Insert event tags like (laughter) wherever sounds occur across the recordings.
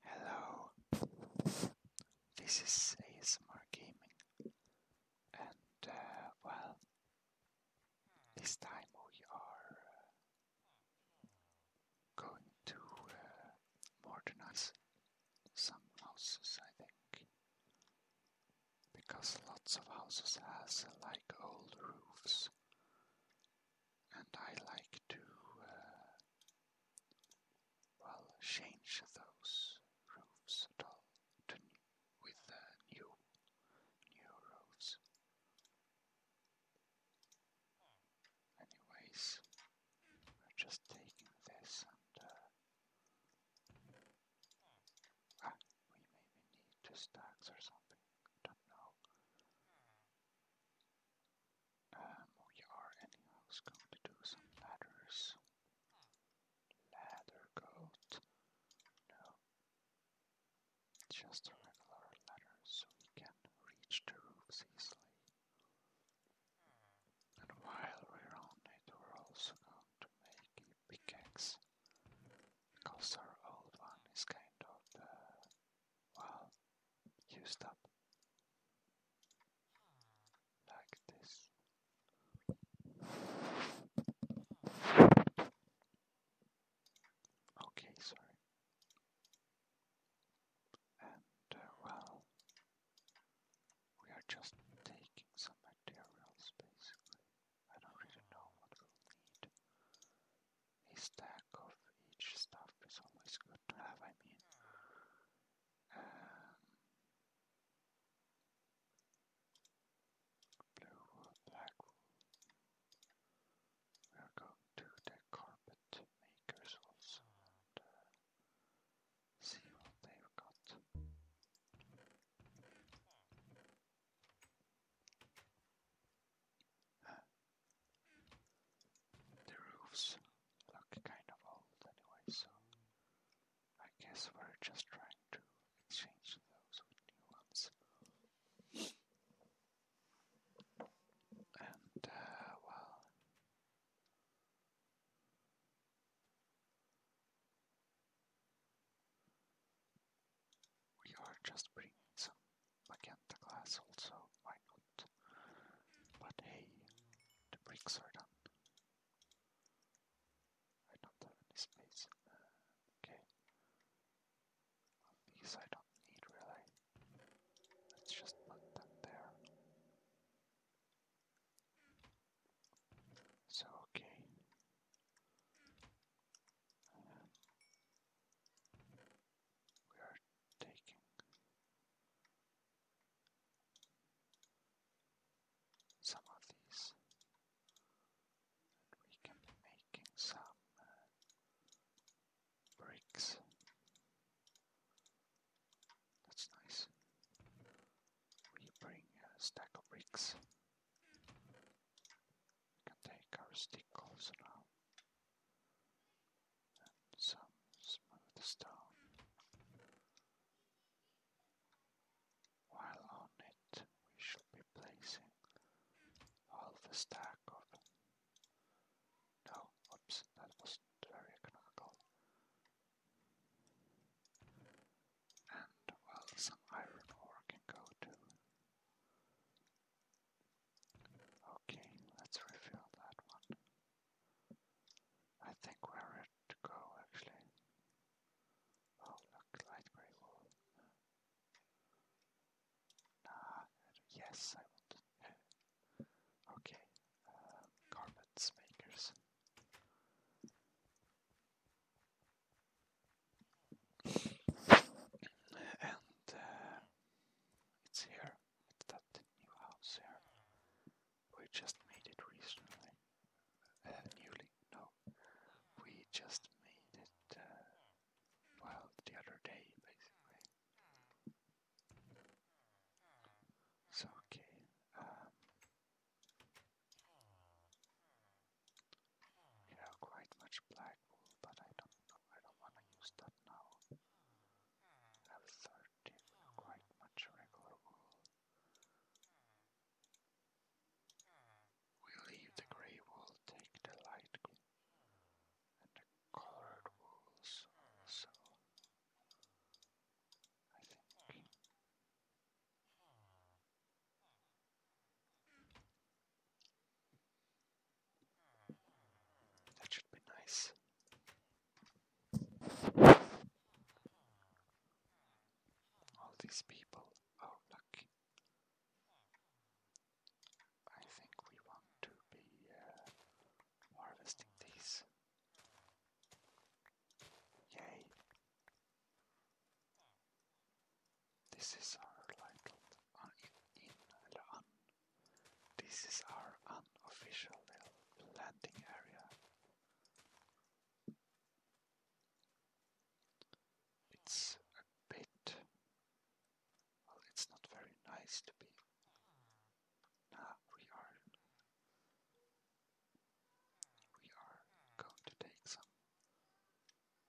Hello, this is ASMR Gaming, and uh, well, this time we are uh, going to uh, modernize some houses, I think, because lots of houses has like old roofs and I like to, uh, well, change those roofs at all to, with new, new roofs. Anyways, we're just taking this uh, ah, we maybe need two stacks or something. Don't know. Um, we are anyhow going to do some ladders. Ladder goat. No. Just a regular ladder so we can reach the roofs easily. And while we're on it, we're also going to make a Because our old one is kind of uh, well, you stop. Like this. Okay, sorry. And uh, well, we are just taking some materials basically. I don't really know what we need a stack of each stuff is always good to have, I mean. Um, blue wool, black wool. to the carpet makers also uh, see what they've got. The roofs look kind of old anyway, so I guess we're just trying to exchange those with new ones. And, uh, well. We are just bringing Magenta glass also, why not? But hey, the bricks are done. I don't have any space. okay. these I don't need really. Let's just put them there. So, okay we are taking. Some of these, and we can be making some uh, bricks. That's nice. We bring a stack of bricks. We can take our stickles now some smooth stone while on it we should be placing all the stack of no oops that wasn't very economical and well some iron ore can go to Okay, let's refill that one. I think we're ready to go actually. Oh look, light grey wool. Ah, yes, I want. okay, um, carpets makers. and uh, it's here. It's that new house here. We just made it recently. Uh, newly, no. We just made it, uh, well, the other day, basically. So, okay. Um, you quite much black wool, but I don't know. I don't want to use that now. have 30, quite much regular wool. We leave the grey wool, take the light and the colored wools also. I think. That should be nice. All these people are lucky. I think we want to be uh, harvesting these. Yay! This is our titled This is our unofficial landing area. It's a bit it's not very nice to be now we are we are going to take some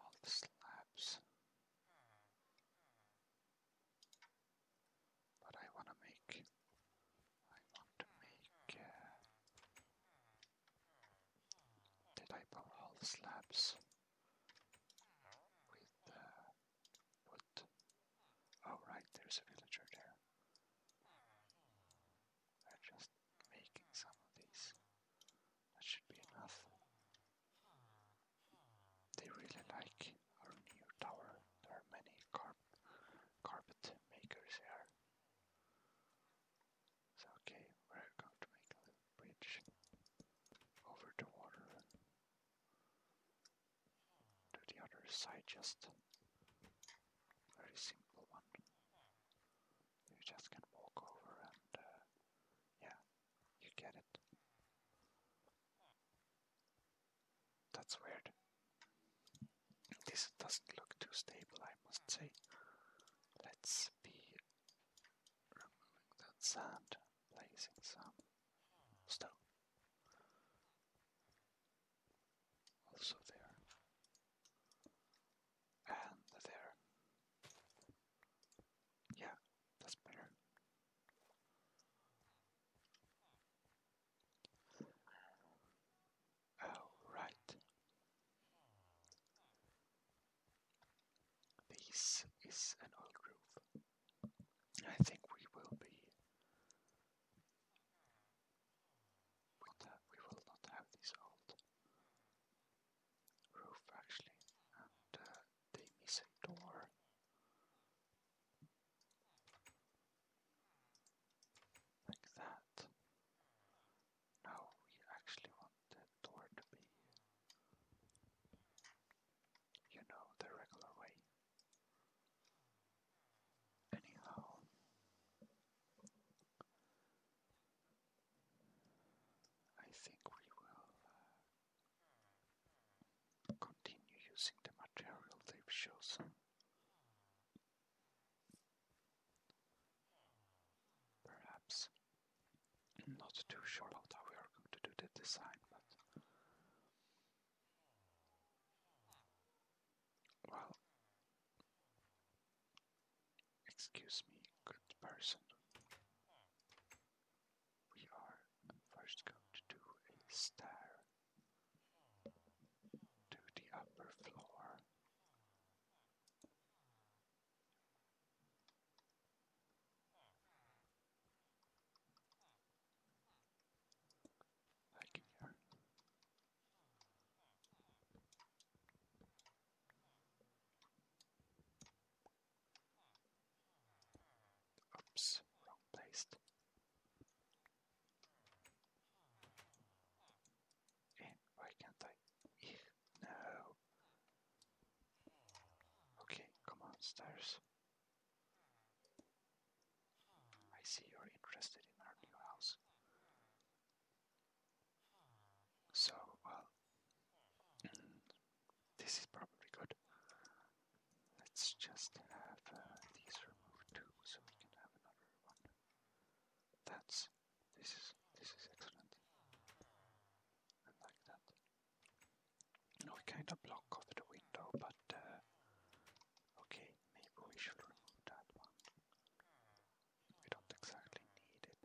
all the slabs. But I want to make, I want to make, the type of all the slabs with uh, Oh right, there's a villager there. I'm just making some of these that should be enough. They really like our new tower. There are many carpet makers here. So okay, we're going to make a bridge over the water to the other side just very simple one. You just can walk over and uh, yeah, you get it. That's weird. This doesn't look too stable, I must say. Let's be removing that sand, placing some stone. Also there. And there. Yeah, that's better. Oh, This is an old groove. I think we will be. We will not have these old roof actually, and uh, they miss a door. Like that. Now we actually want the door to be, you know, the regular way. Anyhow, I think we will uh, continue using the material they've chosen. Perhaps not too sure how we are going to do the design, but well, Excuse me, good person. We are first going to do a stair to the upper floor. Like here. Oops, wrong place. why can't I? no. Okay, come on, stairs. I see you're interested in our new house. So, well, mm, this is probably good. Let's just have uh, these removed too, so we can have another one. That's this is this is excellent. I like that. we kind of block off the window, but uh, okay, maybe we should remove that one. We don't exactly need it.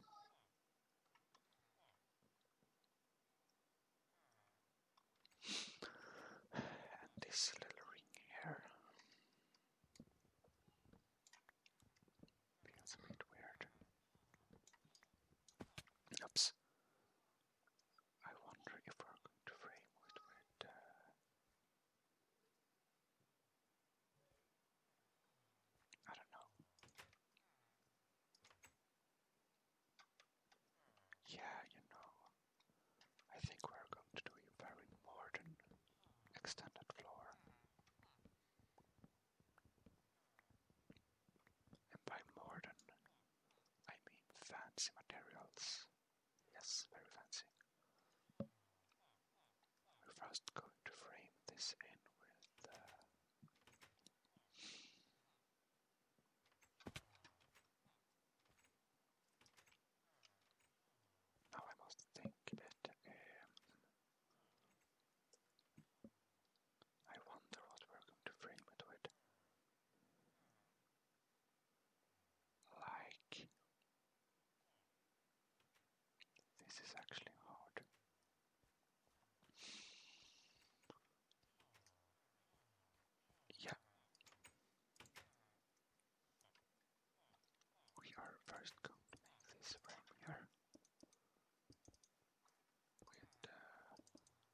And this little ring here feels a bit weird. Oops. I wonder if we're going to frame it with. Uh, I don't know. Yeah, you know, I think we're going to do you very modern extended floor. And by modern, I mean fancy materials. Yes, very fancy. We're first going to frame this in with uh... now I must think that um, I wonder what we're going to frame it with. Like this is actually hard. Yeah. We are first going this from here with uh,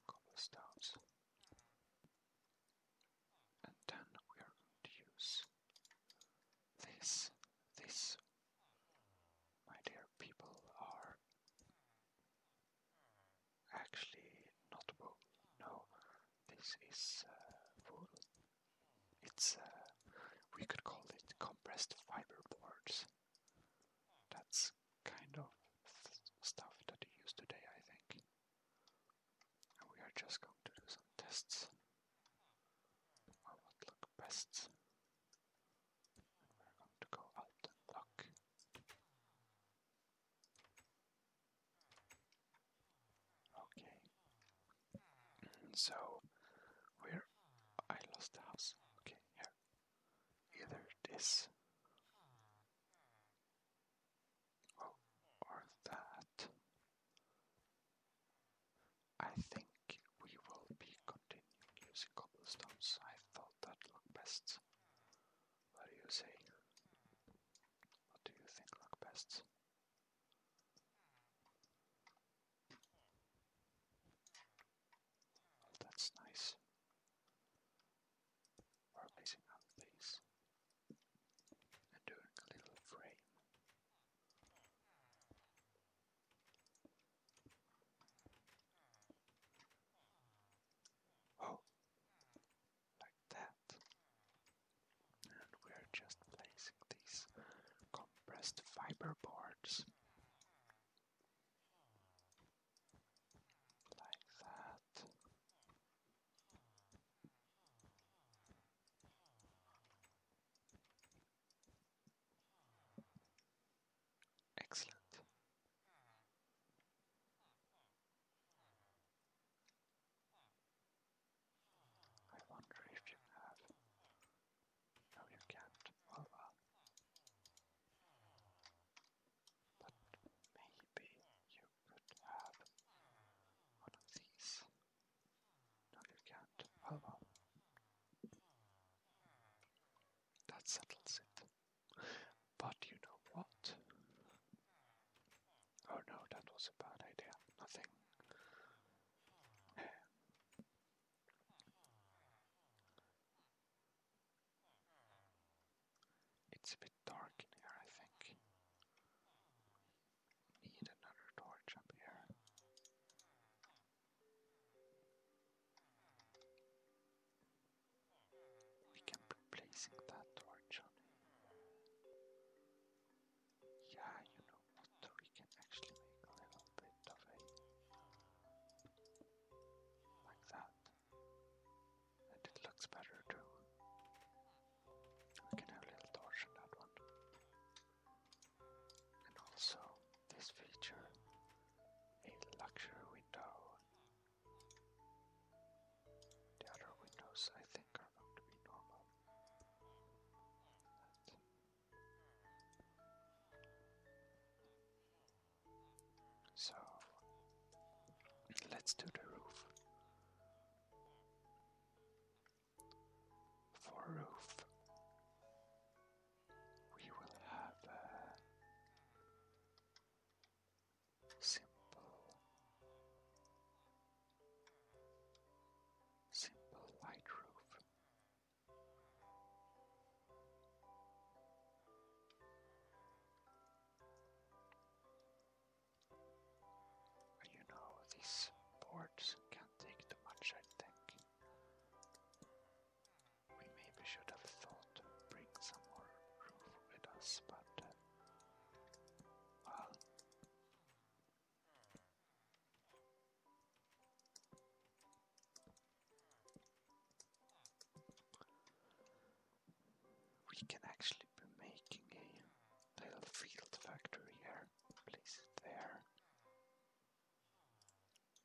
cobblestones, and then we are use this this my dear people, are actually not wool. No, this is uh, It's uh, we could call it compressed fiber boards. That's kind of stuff that you use today, I think. we are just going to do some tests of what look best. We're going to go out and look. Okay. So, where I lost the house. Okay, here. Either this. Oh, or that. I think we will be continuing using cobblestones. I thought that looked best. What do you say? What do you think look best? that's nice. We're placing and doing a little frame. Oh, like that. And we're just placing these compressed fiber boards. Like that. Excellent. I wonder if you have. No, you can't. But maybe you could have one of these. No, you can't. Oh well. That settles it. But you know what? Oh no, that was a bad idea. Nothing. It's a bit dark in here, I think need another torch up here. We can be placing that torch on him. Yeah, you know what? We can actually make a little bit of a like that. And it looks better too. We can have a little torch on that one and also this feature a luxury window. The other windows I think are going to be normal. so let's do the roof for a roof, we will have a simple, simple light roof. you know these boards can take too much, I think. We maybe should have thought to bring some more roof with us, but uh, We can actually be making a little field factory here, place it there,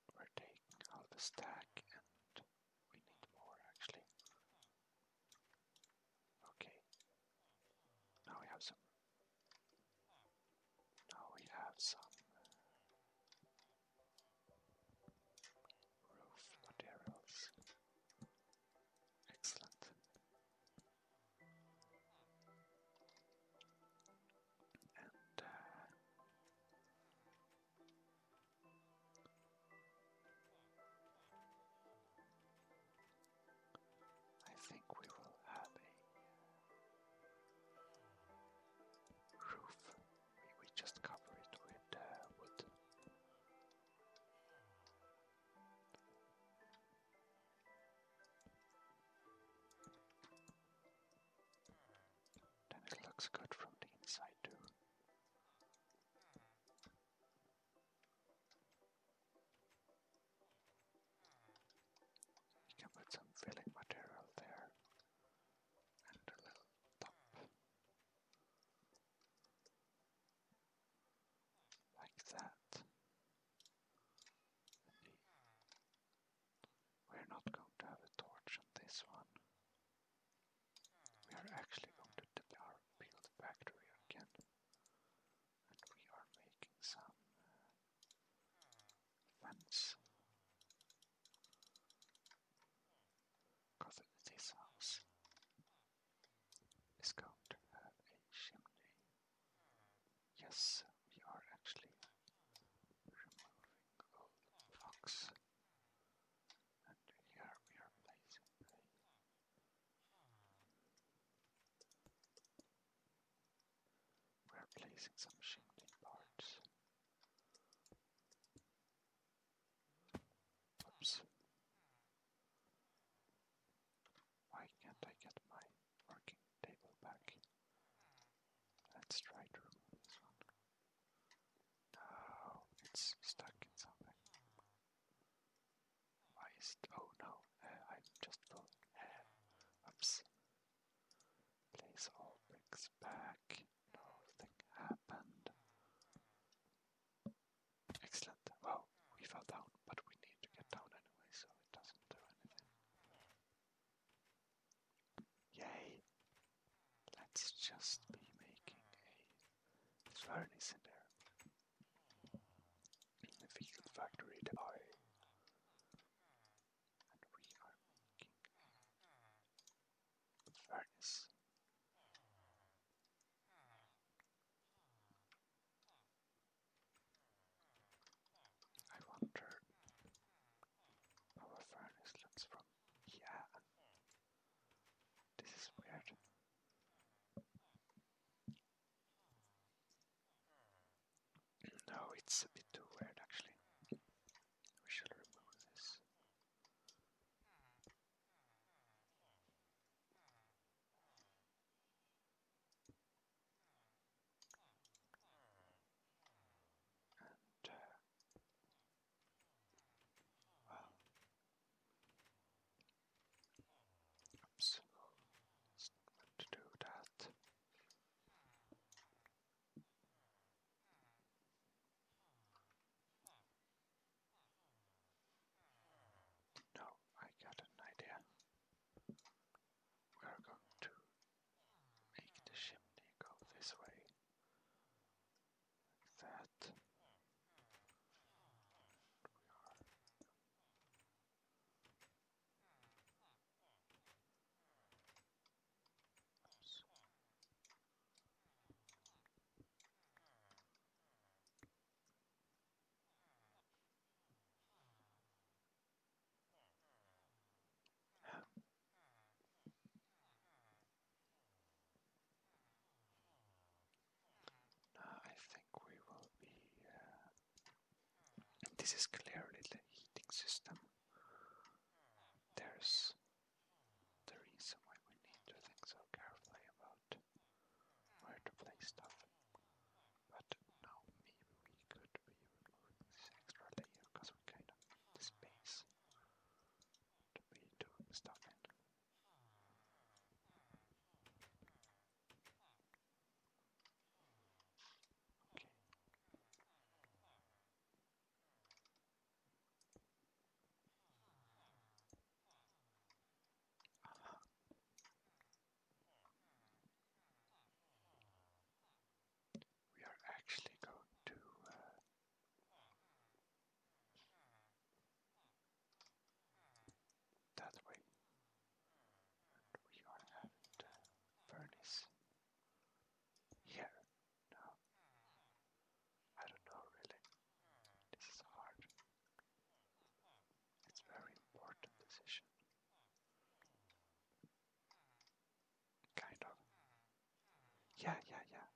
we're taking out the stack and we need more actually. Okay. Now we have some now we have some uh, roof materials. Excellent. And uh, I think we will have a uh, roof. We, we just cover it with uh, wood. Then it looks good from the inside too. You put some filling material there and a little top. Like that. We're not going to have a torch on this one. We are actually going to build a factory again. And we are making some uh, fence. Because this house is going to have a chimney. Yes, we are actually removing all the And here we are placing we are placing some shingling parts. Oops. Why can't I get my working table back? Let's try to remove this one. No, it's stuck in something. Why is it? Oh no, uh, i just full. Uh, oops. Place all bricks back. Nothing happened. Excellent. Wow, we fell down but we need to get down anyway, so it doesn't do anything. Yay! Let's just be making a furnace in there. In the vehicle factory depot. And we are making a furnace. I wonder our furnace looks from yeah. This is weird. No, it's a bit too weird actually. We shall remove this. And, uh, well, oops, to do that. No, I got an idea. We are going to make the chimney go this way. that. Now I think we will be. Uh, this is clearly the heating system. There's the reason why we need to think so carefully about where to place stuff. But now maybe we could be removing this extra layer because we kind of need space to be doing stuff in. Okay. Uh-huh. We are actually going to uh, that way. we are at the here now. I don't know really. This is hard. It's very important decision. Kind of. Yeah, yeah, yeah.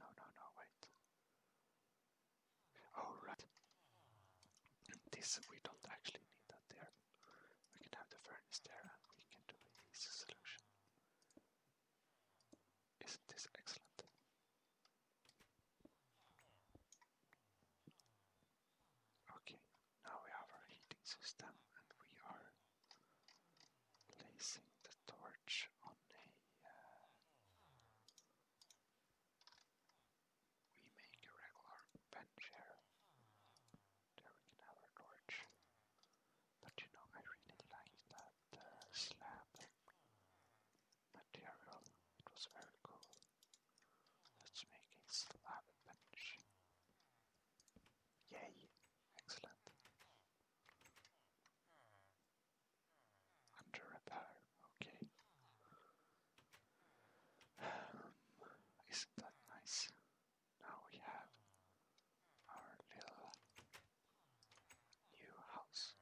No, no, no, wait. Oh, This, we don't actually need that there. We can have the furnace there and we can do an easy solution. Isn't this excellent? Okay, now we have our heating system and we are placing the torch on a. Uh, we make regular bench here. There we can have our torch. But you know, I really like that uh, slab material, it was very cool. Let's make a slab bench. Yay! Excellent. Under repair, okay. (sighs) isn't that nice? Now we have our little new house.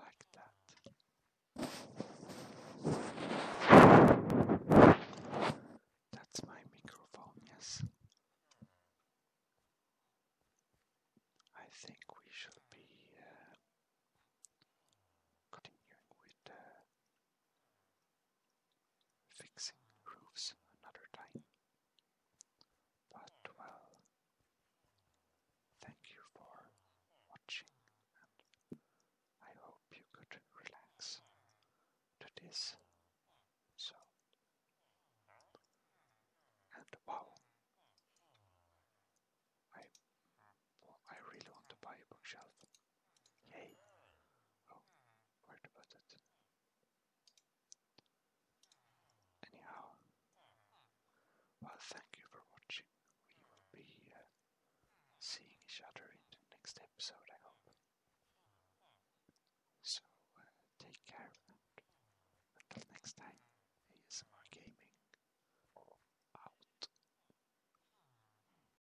Like that. That's my microphone, yes. I think we should be uh, continuing with Fixing roofs another time. But well, thank you for watching, and I hope you could relax to this. So, and wow, I, I really want to buy a bookshelf. Yay! Oh, where it? Anyhow, well, thank you for watching. We will be uh, seeing each other in the next episode, I hope. So, uh, take care, until next time, ASMR Gaming out.